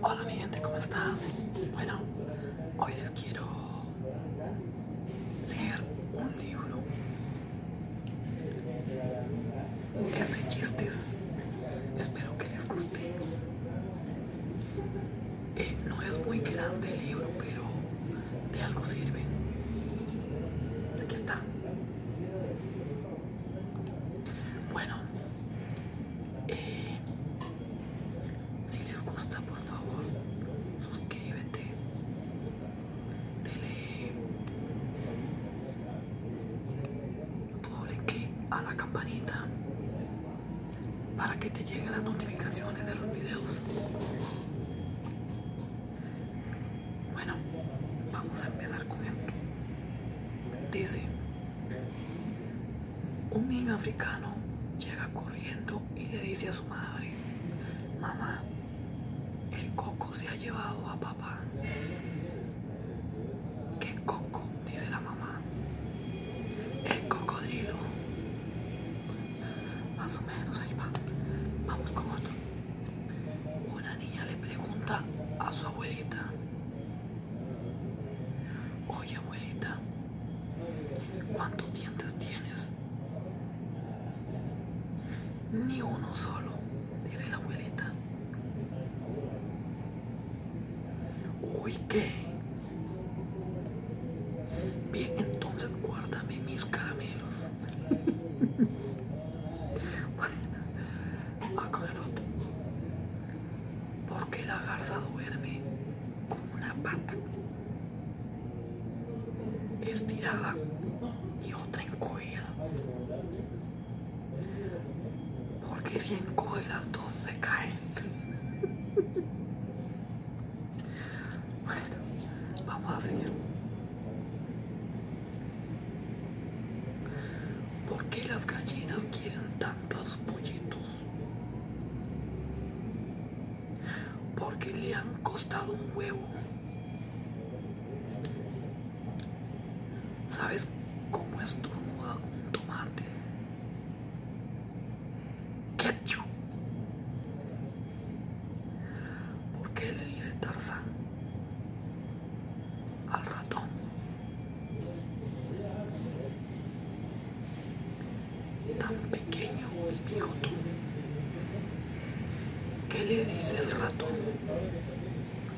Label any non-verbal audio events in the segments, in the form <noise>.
Hola mi gente, ¿cómo están? Bueno, hoy les quiero leer un libro. Es de chistes. Espero que les guste. Eh, no es muy grande el libro, pero de algo sirve. Aquí está. Bueno. Eh, si les gusta, por favor, suscríbete. Dele doble clic a la campanita para que te lleguen las notificaciones de los videos. Bueno, vamos a empezar con esto. Dice, un niño africano llega corriendo y le dice a su madre, mamá, el coco se ha llevado a papá. ¿Qué coco? dice la mamá. El cocodrilo. Más o menos, ahí va. Vamos con otro. Una niña le pregunta a su abuelita, oye abuelita, ¿cuántos dientes tienes? Ni uno solo, dice la abuelita. Uy, ¿qué? Bien, entonces guárdame mis caramelos. <laughs> ¿Por <laughs> Porque la garza duerme con una pata estirada y otra encogida Porque si encoges las dos se caen. <laughs> bueno, vamos a seguir. ¿Por qué las gallinas quieren tanto a sus pollitos? Porque le han costado un huevo. ¿Sabes cómo estornuda un tomate? Ketchup. ¿Por qué le dice Tarzán? al ratón. Tan pequeño y tú ¿Qué le dice el ratón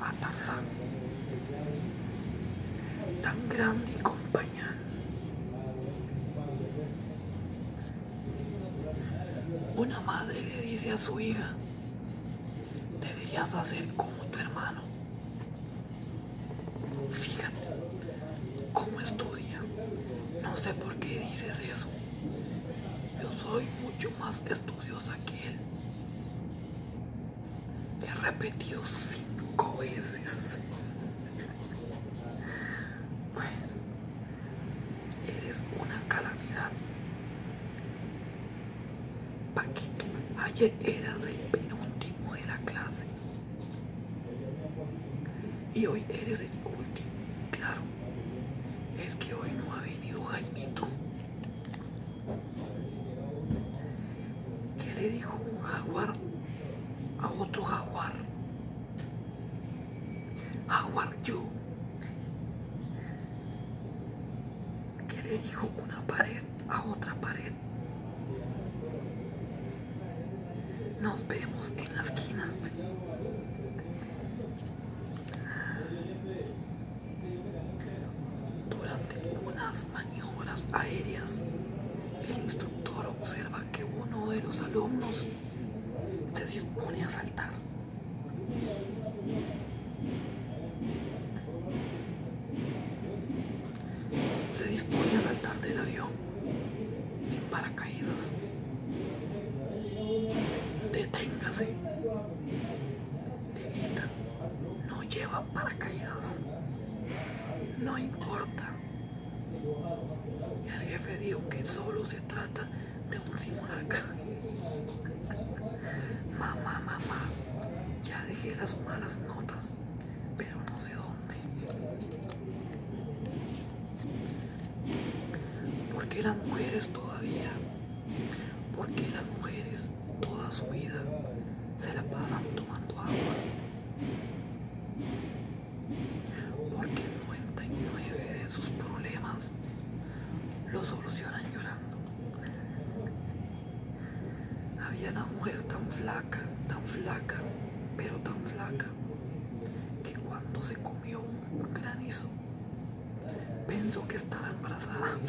a Tarzán? Tan grande y compañía. Una madre le dice a su hija, deberías hacer como tu hermano. Fíjate cómo estudia. No sé por qué dices eso. Yo soy mucho más estudiosa que él. Te he repetido cinco veces. <laughs> Bueno, Eres una calamidad. Paquito, ayer eras el penúltimo de la clase. Y hoy eres el último. Claro, es que hoy no ha venido Jaimito. ¿Qué le dijo un jaguar a otro jaguar? Jaguar yo que le dijo una pared a otra pared. Nos vemos en la esquina. Durante unas maniobras aéreas, el instructor observa que uno de los alumnos se dispone a saltar. Se dispone a saltar del avión sin paracaídas. Deténgase. Le grita No lleva paracaídas. No importa. El jefe dijo que solo se trata de un simulacro <laughs> mamá, mamá, ya dejé las malas notas, pero no sé dónde. ¿Por qué las mujeres todavía? porque las mujeres toda su vida se la pasan tomando agua? porque 99% de sus problemas lo solucionan llorando. Había una mujer tan flaca, tan flaca, pero tan flaca, que cuando se comió un granizo, pensó que estaba embarazada. <laughs>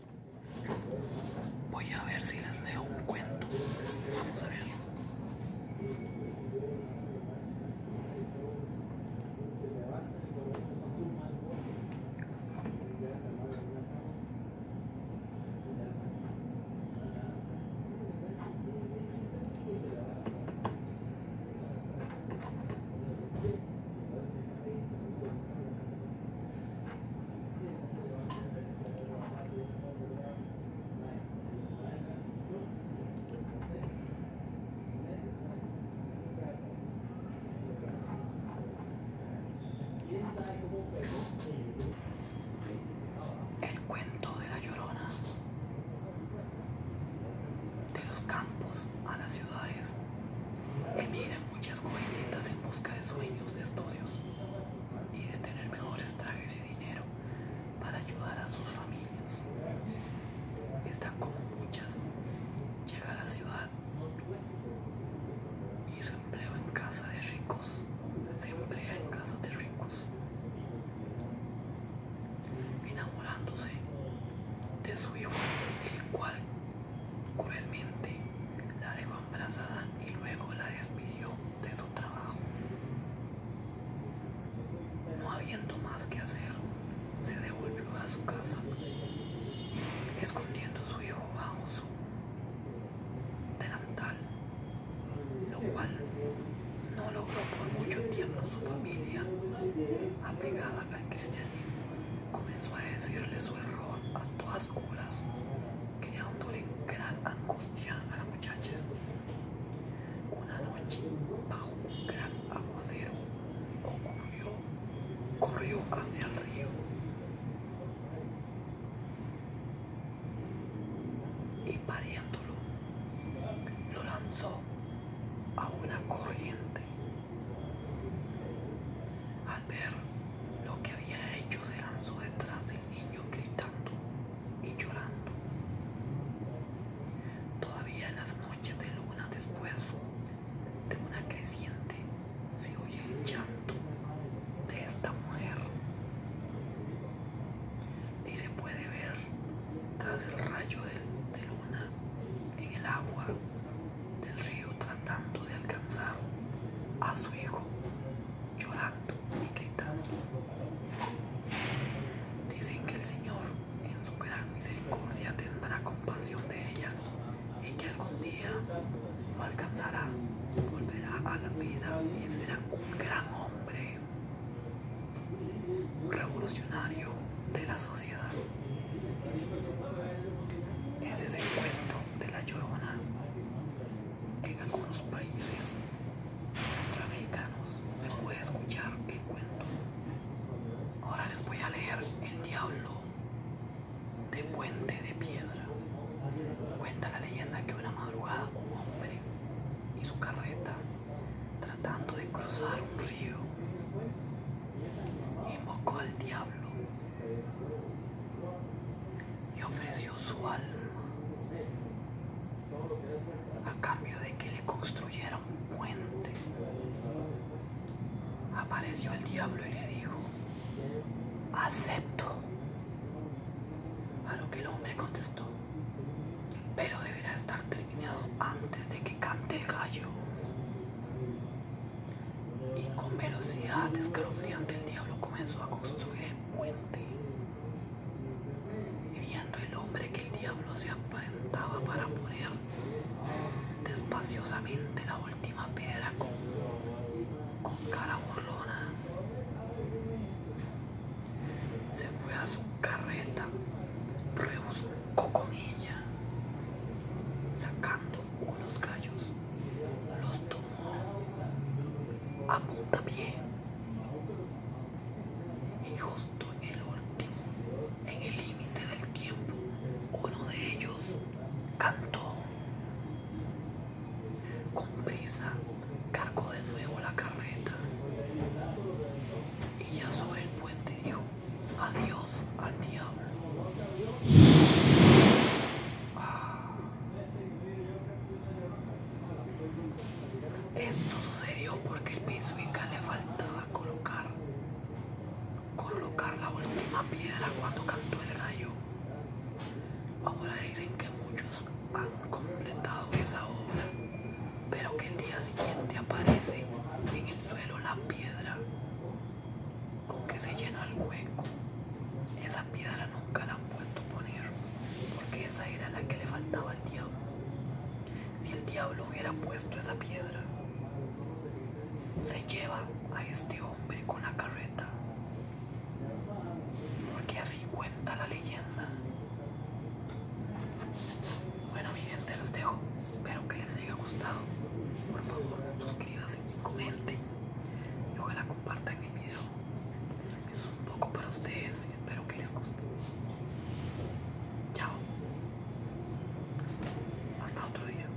Voy a ver si les leo un cuento. Vamos a ver. El cuento de la llorona. De los campos a las ciudades. miren muchas jovencitas en busca de sueños, de estudios y de tener mejores trajes y dinero para ayudar a sus familias. Está como muchas, llega a la ciudad y su empleo en casa de ricos se emplea en casa de ricos, enamorándose de su hijo, el cual Cruelmente la dejó embarazada y luego la despidió de su trabajo. No habiendo más que hacer, se devolvió a su casa, escondiendo a su hijo bajo su delantal, lo cual no logró por mucho tiempo su familia apegada al cristianismo comenzó a decirle su error a todas horas, creándole gran angustia a la muchacha. Una noche, bajo un gran aguacero, ocurrió, corrió hacia el río y pariéndolo, lo lanzó a una corriente al ver lo que había hecho, se lanzó detrás del niño gritando y llorando. Todavía en las noches de luna después de una creciente se oye el llanto de esta mujer y se puede ver tras el rayo de, de luna en el agua del río tratando de alcanzar a su hijo, llorando y gritando. Dicen que el Señor en su gran misericordia tendrá compasión de ella y que algún día lo alcanzará, volverá a la vida y será un gran hombre, revolucionario de la sociedad. Ese es el cuento de la llorona. En algunos países centroamericanos se puede escuchar el cuento. Ahora les voy a leer El Diablo de Puente de Piedra. Cuenta la leyenda que una madrugada un hombre y su carreta, tratando de cruzar un río, invocó al diablo y ofreció su alma a cambio de que le construyeran un puente. Apareció el diablo y le dijo, acepto. A lo que el hombre contestó, pero deberá estar terminado antes de que cante el gallo y con velocidad escalofriante el diablo comenzó a construir el puente. Y viendo el hombre que el diablo se aparentaba para poner despaciosamente la última piedra con, cara burlona, se fue a su carreta, rebuscando con ella, sacando unos gallos, los tomó a puntapié y justo en el último, en el límite del tiempo, uno de ellos cantó. Con prisa cargó de nuevo la carreta y ya sobre el puente dijo, Adiós al diablo. Ah. Esto sucedió porque el pisuica le faltaba colocar colocar la última piedra cuando cantó el rayo. Ahora dicen que muchos han completado esa obra pero que el día siguiente aparece en el suelo la piedra con que se llena el hueco. Esa piedra nunca la han puesto poner, porque esa era la que le faltaba al diablo. Si el diablo hubiera puesto esa piedra, se lleva a este hombre con la carreta, porque así cuenta la leyenda. Bueno, mi gente, los dejo. Espero que les haya gustado. Por favor, suscríbanse y comenten. Y ojalá compartan el video. es un poco para ustedes y espero que les guste. Chao. Hasta otro día.